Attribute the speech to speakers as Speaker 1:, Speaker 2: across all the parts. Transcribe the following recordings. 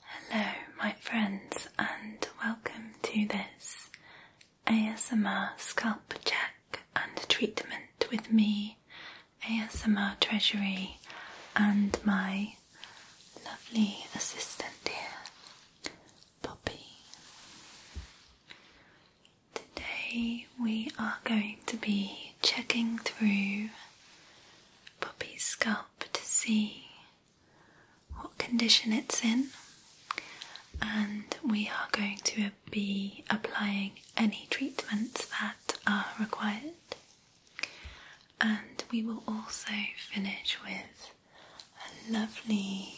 Speaker 1: Hello, my friends, and welcome to this ASMR scalp check and treatment with me, ASMR Treasury, and my lovely assistant here, Poppy. Today we are going to be checking through Poppy's scalp to see what condition it's in, and we are going to be applying any treatments that are required. And we will also finish with a lovely,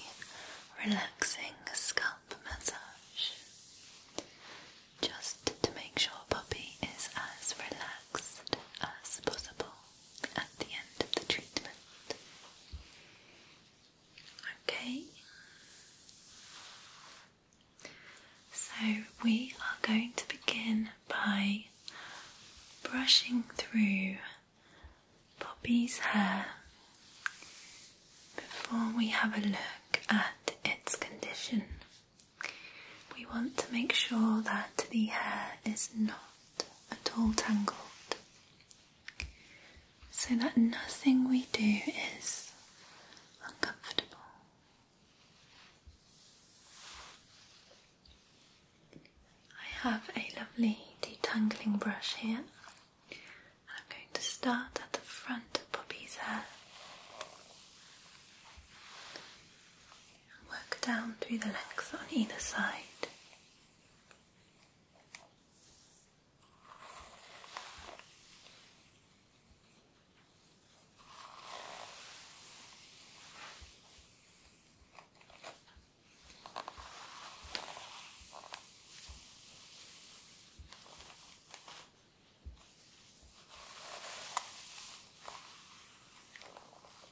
Speaker 1: relaxing scalp massage just to make sure Poppy is as relaxed as possible at the end of the treatment. Okay, so we are going to begin by brushing through Poppy's hair before we have a look at its condition. We want to make sure that the hair is not at all tangled. So that nothing we do is uncomfortable. I have a lovely detangling brush here. I'm going to start at the front of Poppy's hair. Work down through the legs on either side.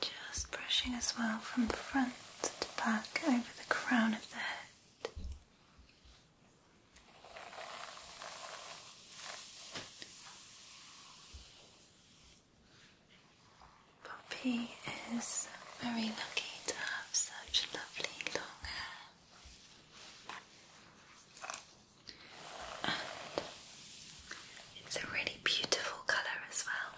Speaker 1: Just brushing as well from the front to back over the crown of the head. Poppy is very lucky to have such lovely long hair. Uh, it's a really beautiful colour as well.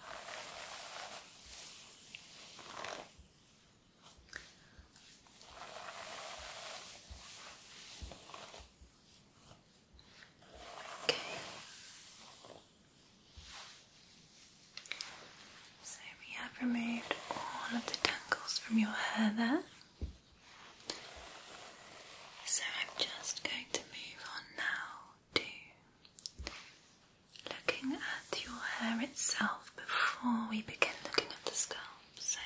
Speaker 1: Okay. So we have removed all of the tangles from your hair there. So I'm just going to move on now to looking at your hair itself before we begin looking at the scalp. So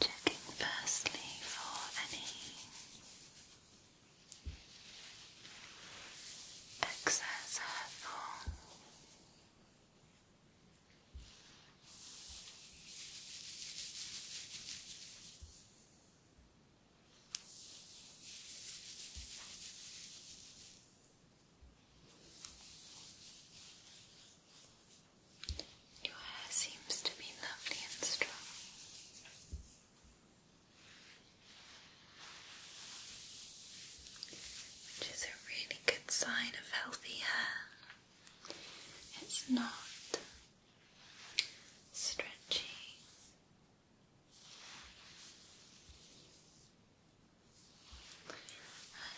Speaker 1: Checking firstly for any excess hurtful your hair seems to be lovely and strong. Which is a really good sign of healthy hair. It's not stretchy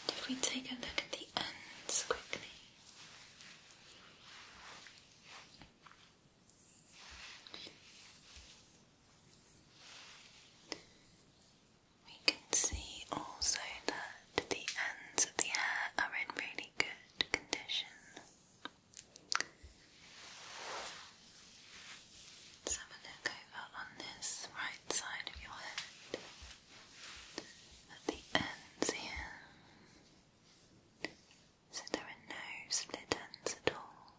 Speaker 1: and if we take a look at the ends quickly. We can see also that the ends of the hair are in really good condition. Let's have a look over on this right side of your head at the ends here. So there are no split ends at all.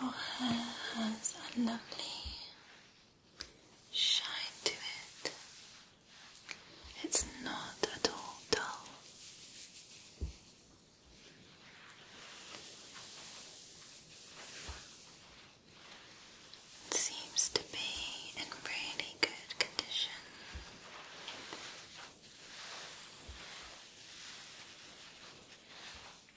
Speaker 1: Your hair has a lovely shine to it. It's not at all dull. seems to be in really good condition.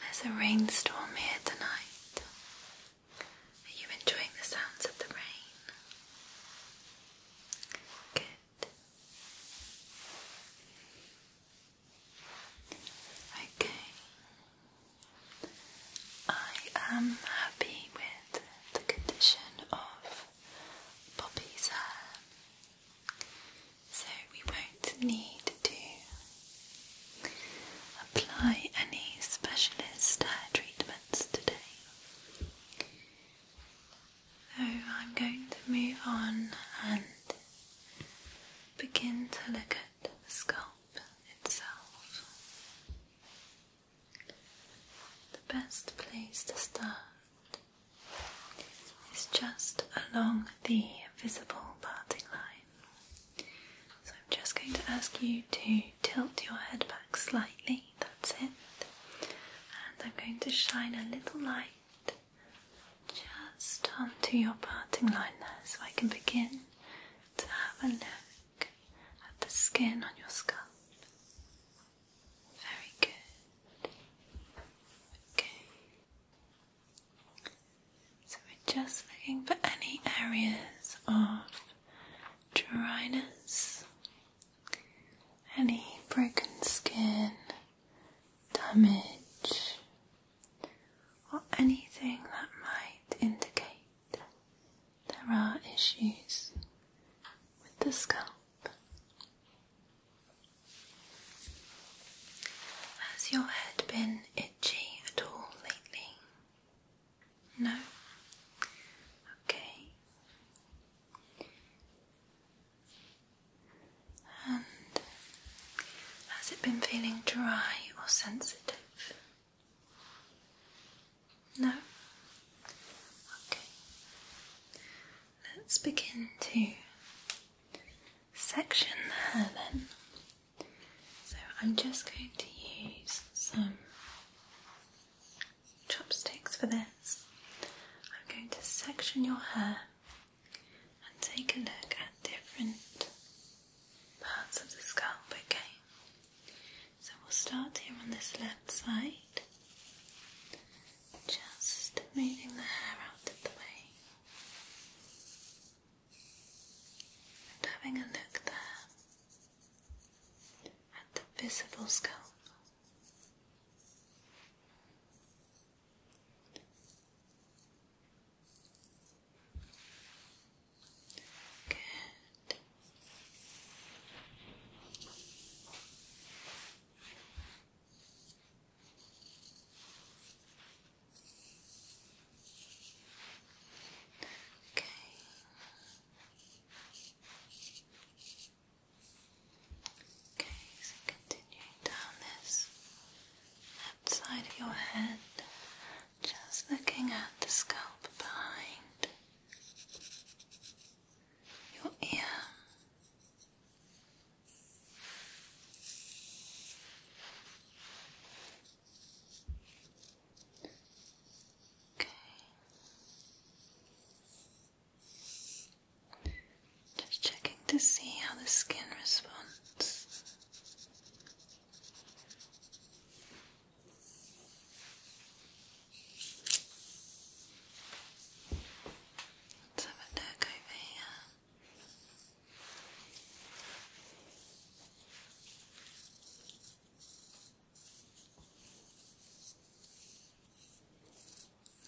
Speaker 1: There's a rainstorm here tonight. Are you enjoying the sounds of the rain? Good. Okay. I am happy with the condition of Poppy's hair. Uh, so we won't need to Apply any specialist treatments today. So I'm going to move on and begin to look at the scalp itself. The best place to start is just along the visible parting line. So I'm just going to ask you to tilt your head back slightly, that's it. And I'm going to shine a little light just onto your parting line there so I can begin to have a look at the skin on your scalp. Very good. Okay. So we're just looking for any areas of dryness, any broken skin, damage, or anything that might indicate there are issues with the scalp. Has your head been itchy at all lately? No? Okay. And has it been feeling dry or sensitive? No? Okay. Let's begin to section the hair then. So I'm just going to use some chopsticks for this. I'm going to section your hair and take a look at different parts of the scalp, okay? So we'll start here on this left side, just moving the hair out of the way and having a look there at the visible scalp. Good. Okay. Okay, so continuing down this side of your head, just looking at the scalp behind your ear. Okay. Just checking to see how the skin responds. Let's have a look over here.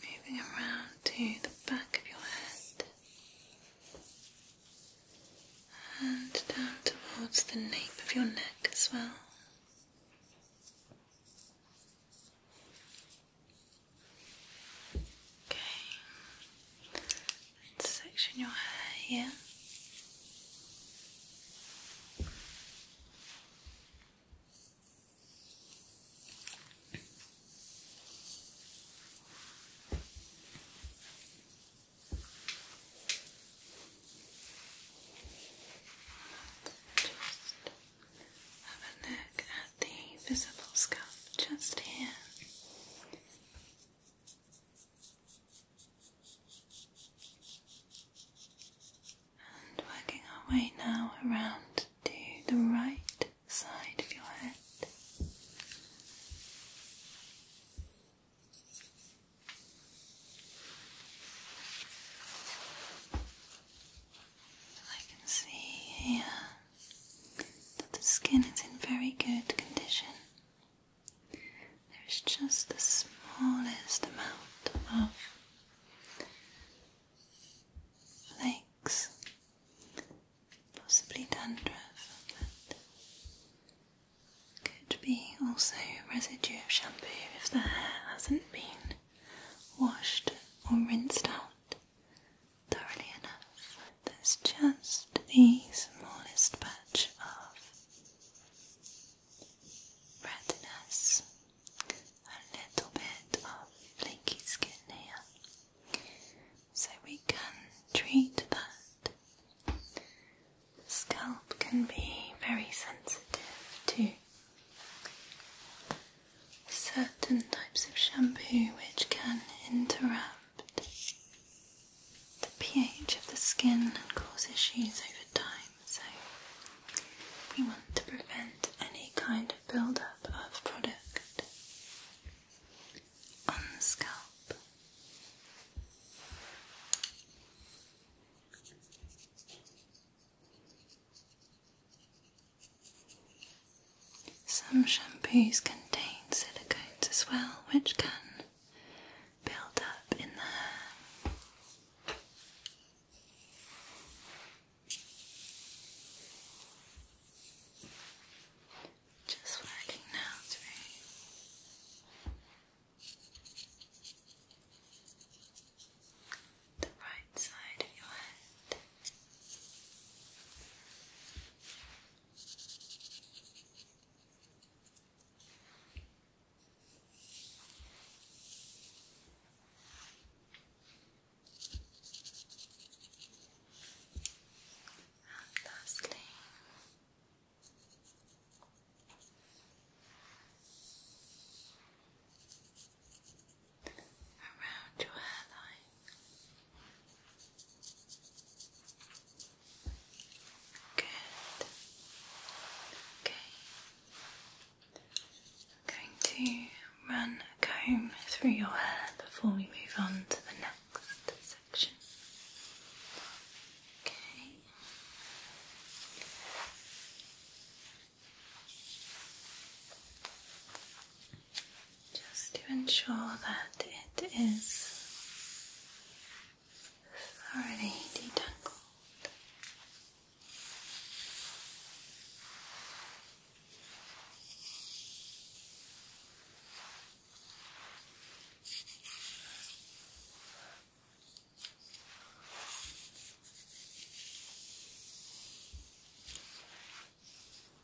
Speaker 1: Moving around to the back of your head and down towards the nape of your neck as well. Okay, section your hair here. Just have a look at the visible scalp just here. And working our way now around to the right side of your head. I can see here that the skin is in very good condition. There is just the smallest amount of flakes, possibly dandruff, but could be also residue of shampoo if the hair hasn't been washed or rinsed out thoroughly enough. There's just the smallest patch of redness, a little bit of flaky skin here, so we can treat that. The scalp can be very sensitive to certain types of shampoo which can interact the pH of the skin causes issues over time. So, we want to prevent any kind of buildup of product on the scalp. Some shampoos contain silicones as well, which can build up in the hair. Just working now through the right side of your head. And lastly, around your hairline. Good. Okay. I'm going to run a comb through your hair before we move on to the next section. Okay just to ensure that it is thoroughly detangled.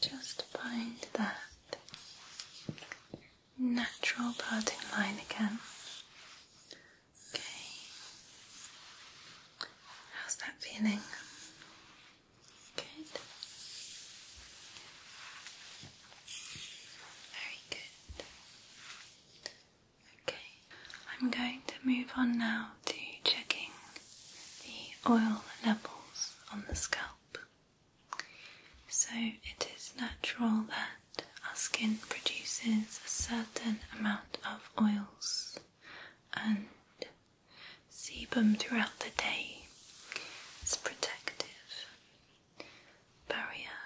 Speaker 1: Just find that natural parting line again. Okay. How's that feeling? Good. Very good. Okay, I'm going to move on now to checking the oil levels on the scalp. So it is natural that our skin produces a certain amount of oils and sebum throughout the day. It's protective barrier,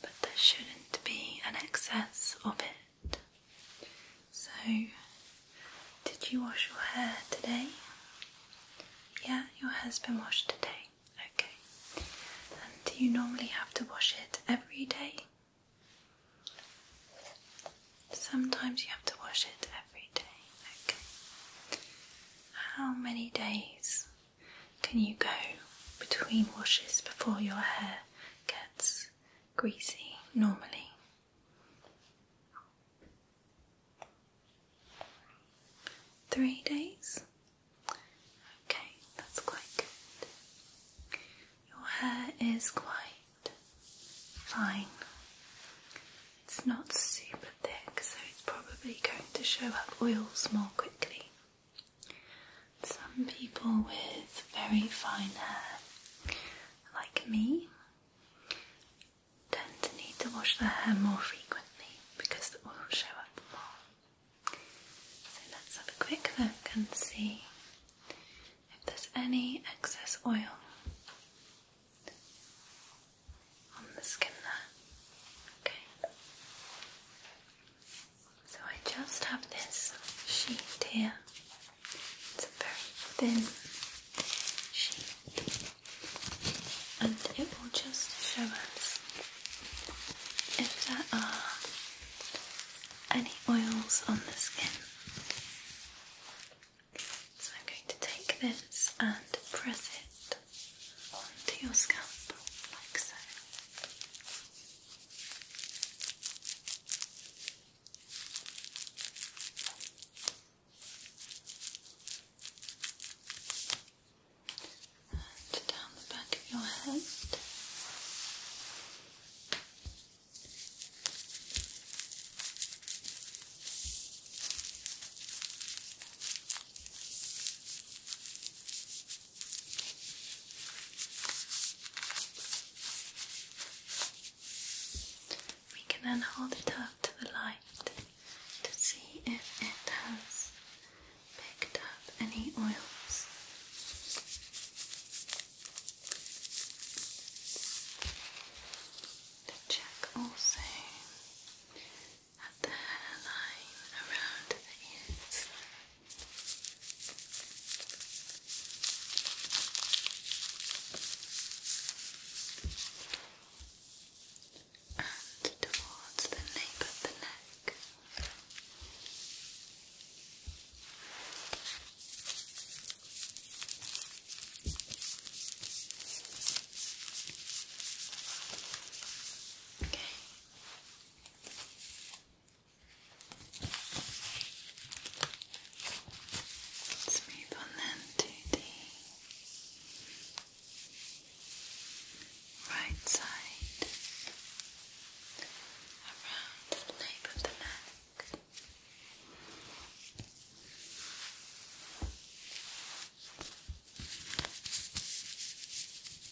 Speaker 1: but there shouldn't be an excess of it. So, did you wash your hair today? Yeah, your hair's been washed today. Okay. And do you normally have to wash it every day? Sometimes you have to wash it every day. Okay. How many days can you go between washes before your hair gets greasy normally? Three days? Okay, that's quite good. Your hair is quite fine. It's not super thick, so it's probably going to show up oils more quickly. Some people with very fine hair, like me, tend to need to wash their hair more frequently because the oil show up more. So let's have a quick look and see if there's any excess oil on the skin there. Okay. So I just have this sheet here. It's a very thin sheet, and it will just show us if there are any oils on the skin. So I'm going to take this and press it onto your scalp like so. And down the back of your head. Good. We can then hold it up to the light to see if it has picked up any oils. To check also at the hairline around the ears and towards the nape of the neck. Okay. Let's move on then to the right side around the nape of the neck. And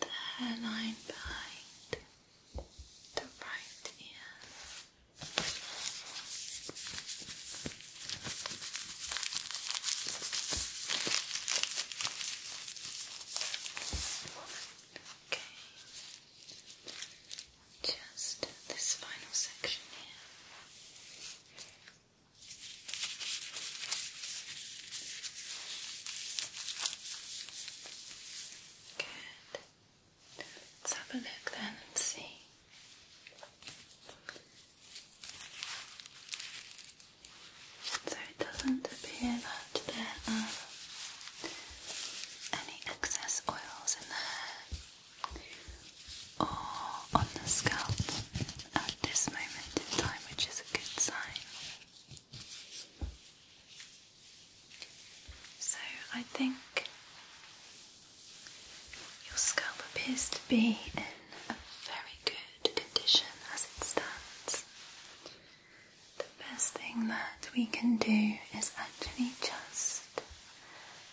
Speaker 1: the hairline behind the right ear. Okay. Just this final section here. Good. have a look then and see. So it doesn't appear that there are any excess oils in the hair or on the scalp at this moment in time, which is a good sign. So I think your scalp appears to be in a very good condition as it stands the best thing that we can do is actually just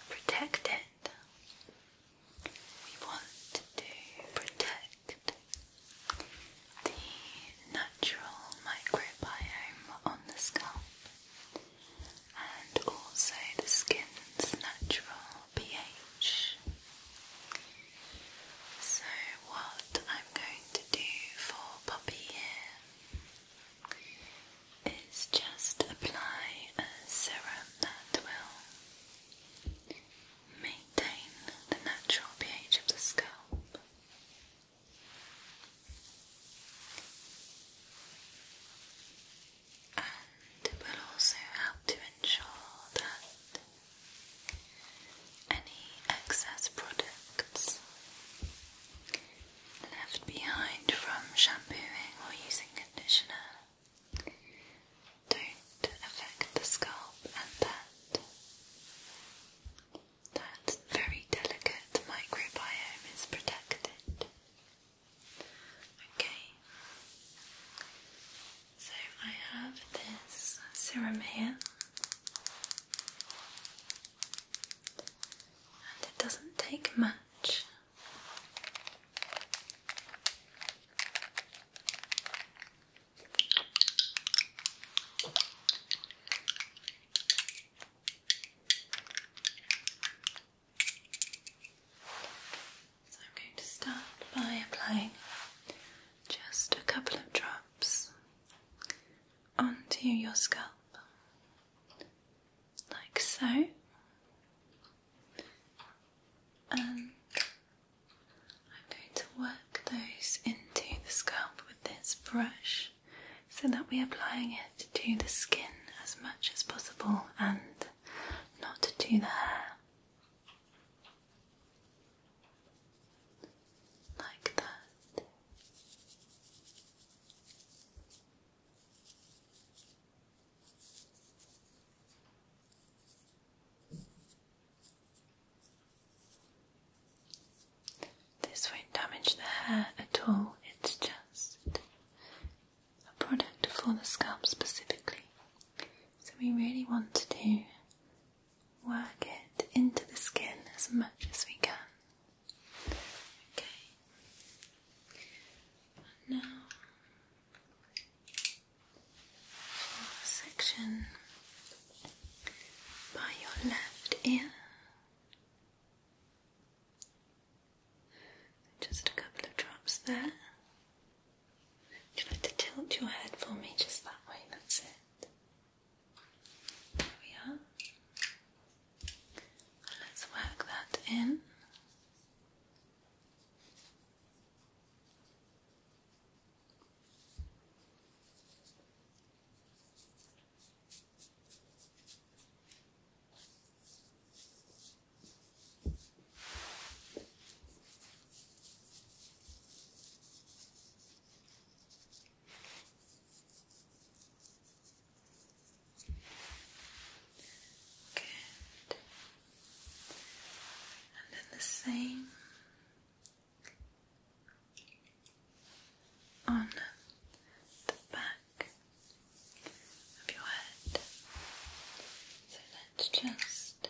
Speaker 1: protect it. We want to protect the natural microbiome on the scalp and also the skin's natural pH. So, what I'm going to do for puppy hair is just apply a serum that will maintain the natural pH of the scalp. And it will also help to ensure that any excess products left behind from shampooing or using conditioner don't affect the scalp and that. That very delicate microbiome is protected. Okay, so I have this serum here. And it doesn't take much. So I'm going to start by applying just a couple of drops onto your scalp, like so, and I'm going to work those into the scalp with this brush so that we're applying it to the skin as much as possible and not to the hair like that. This won't damage the hair at all, it's just a product for the scalp specifically. So, we really want to do work it into the skin as much as we can. Okay. now for section by your left ear. Just a couple of drops there. Would to tilt your head for me just that way? That's it. There we are. let's work that in. And then the same on the back of your head. So let's just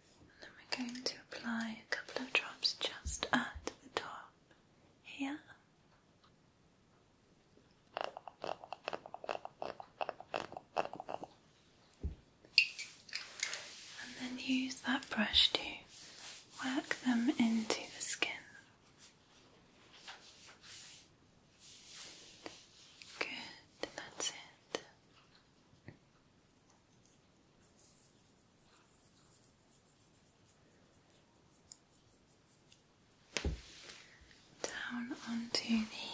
Speaker 1: And then we're going to apply a couple of drops just at the top here. And then use that brush to work them into the skin. Good, that's it down onto the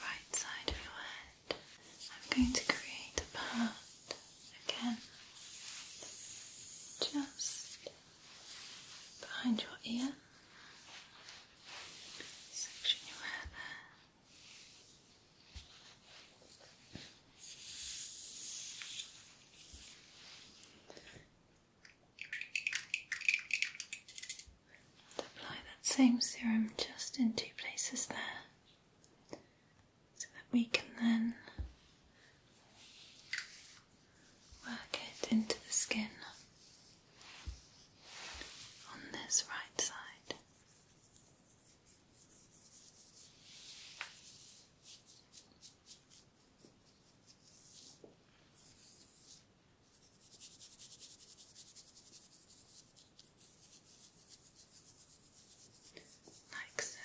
Speaker 1: right side of your head. I'm going to create a part again just behind your ear section your apply that same serum just in two places there, so that we can then work it into the skin on this right side. Like so.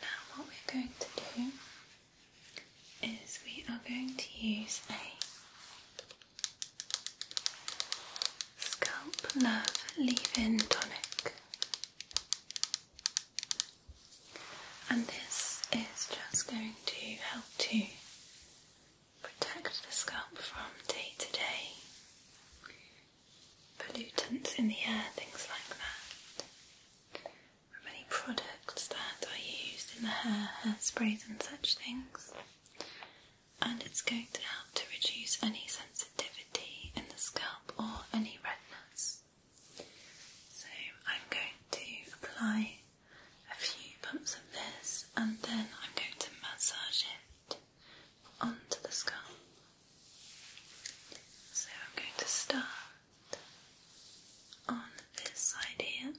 Speaker 1: Now, what we're going to do is we are going to use a Scalp Love Leave In Tonic, and this is just going to help to protect the scalp from day to day pollutants in the air, things like that. any products that are used in the hair, sprays and such things. And it's going to help to reduce any sensitivity in the scalp or any redness. So I'm going to apply a few pumps of this, and then I'm going to massage it onto the skull. So I'm going to start on this side here.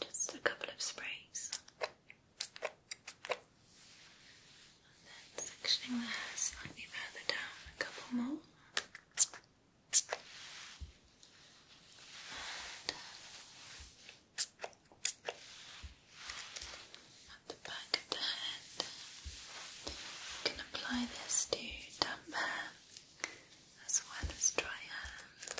Speaker 1: Just a couple of sprays. And then sectioning the hair slightly further down, a couple more at the back of the head. You can apply this to damp hair as well as dry hair.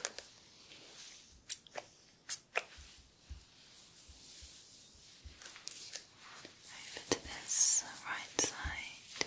Speaker 1: Over to this right side.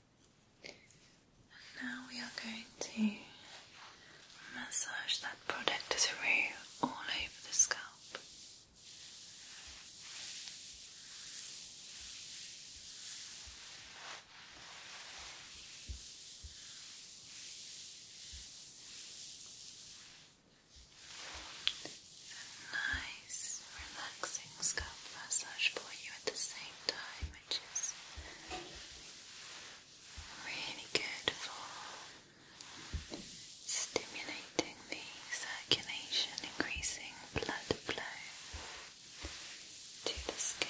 Speaker 1: And now we are going to massage that product through all over the scalp nice relaxing scalp massage for you at the same time, which is really good for stimulating the circulation, increasing blood flow to the skin.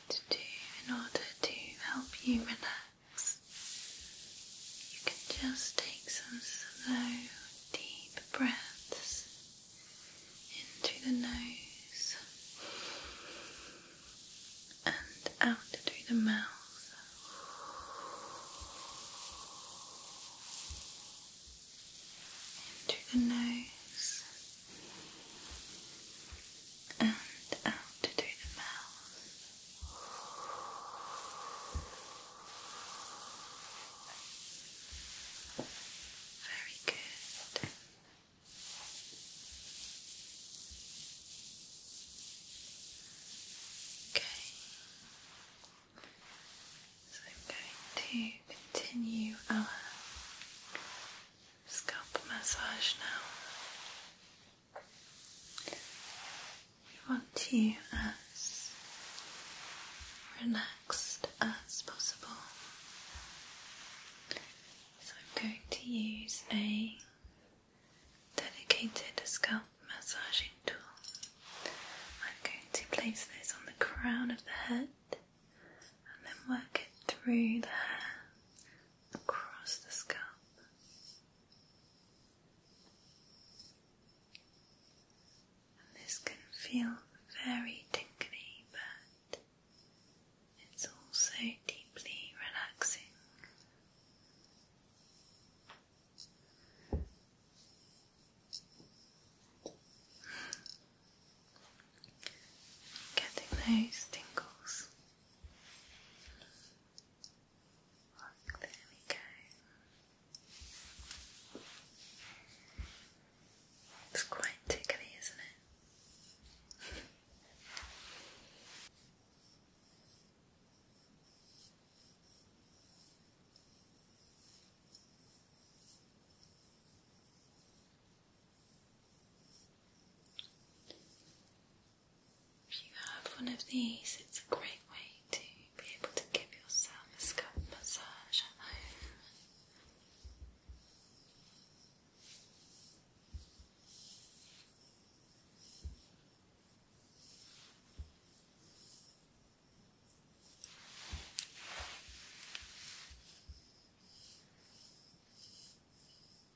Speaker 1: to do in order to help you relax. You can just take some slow, deep breaths into the nose and out through the mouth. In the nose and out through the mouth. Very good. Okay. So I'm going to continue our scalp massage now. We want you as relaxed as possible. So I'm going to use a dedicated scalp massaging tool. I'm going to place this on the crown of the head and then work it through the hair across the scalp. this can feel very tingly, but it's also deeply relaxing. Getting those tingles. there we go. It's quite tickly, isn't it? If you have one of these, it's a great way to be able to give yourself a scalp massage Okay.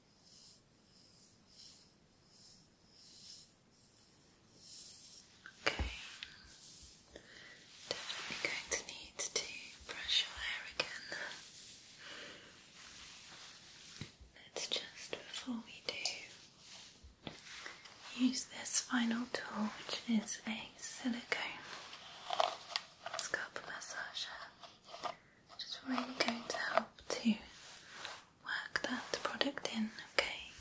Speaker 1: Definitely going to need to brush your hair again. Let's just, before we do, use this final tool, which is a silicone scalp massager which really going to help to work that product in, okay?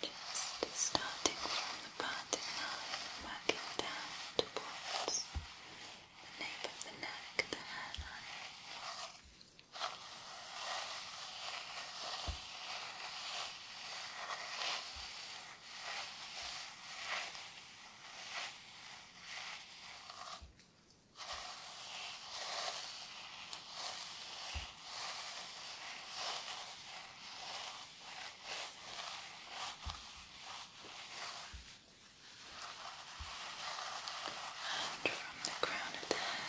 Speaker 1: Just starting from the parting line, working down towards the nape of the neck, the hairline. And from the crown of the head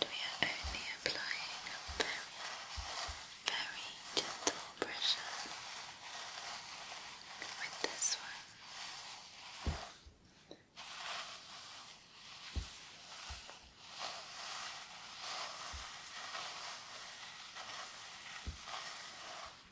Speaker 1: And we are only applying very, very gentle pressure with this one.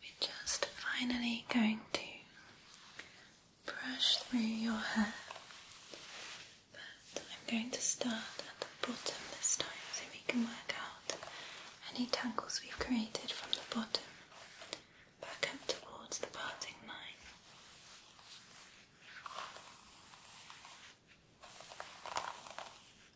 Speaker 1: We're just finally going to brush through your hair, but I'm going to start at the bottom this time so we can work out any tangles we've created from the bottom back up towards the parting line.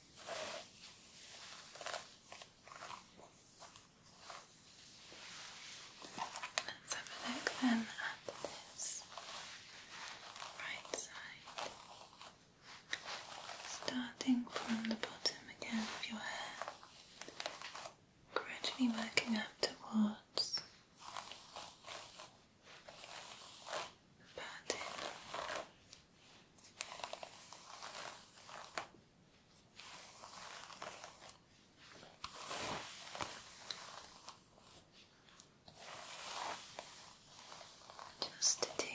Speaker 1: Let's have a look then at this right side. Starting from the bottom again of your hair, gradually working upwards just to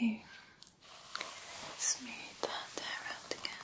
Speaker 1: smooth that around again.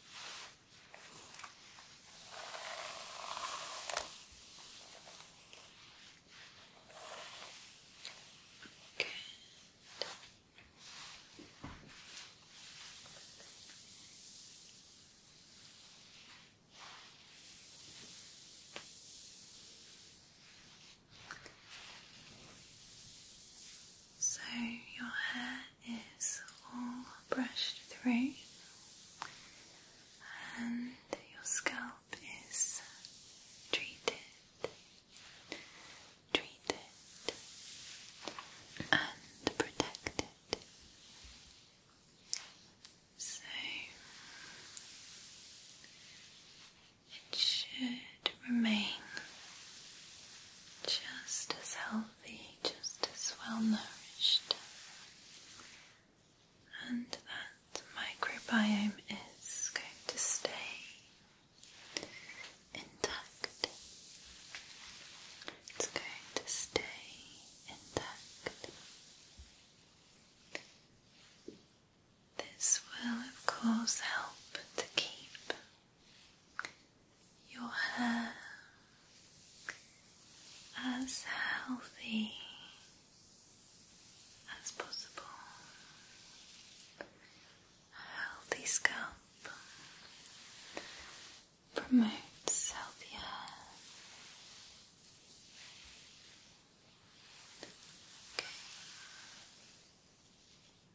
Speaker 1: So your hair is all brushed through, and your scalp is treated, treated, and protected. So it should should remain just as healthy, just as well nourished. And that microbiome is going to stay intact. It's going to stay intact. This will, of course, help to keep your hair as healthy as possible. healthy scalp promotes healthy hair.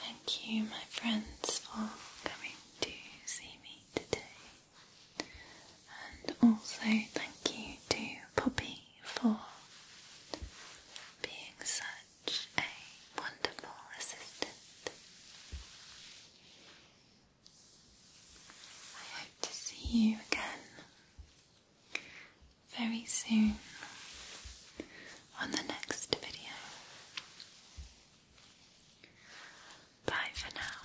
Speaker 1: Thank you, my friends, for coming to see me today, and also thank you to Poppy for being so a wonderful assistant. I hope to see you again very soon on the next video. Bye for now.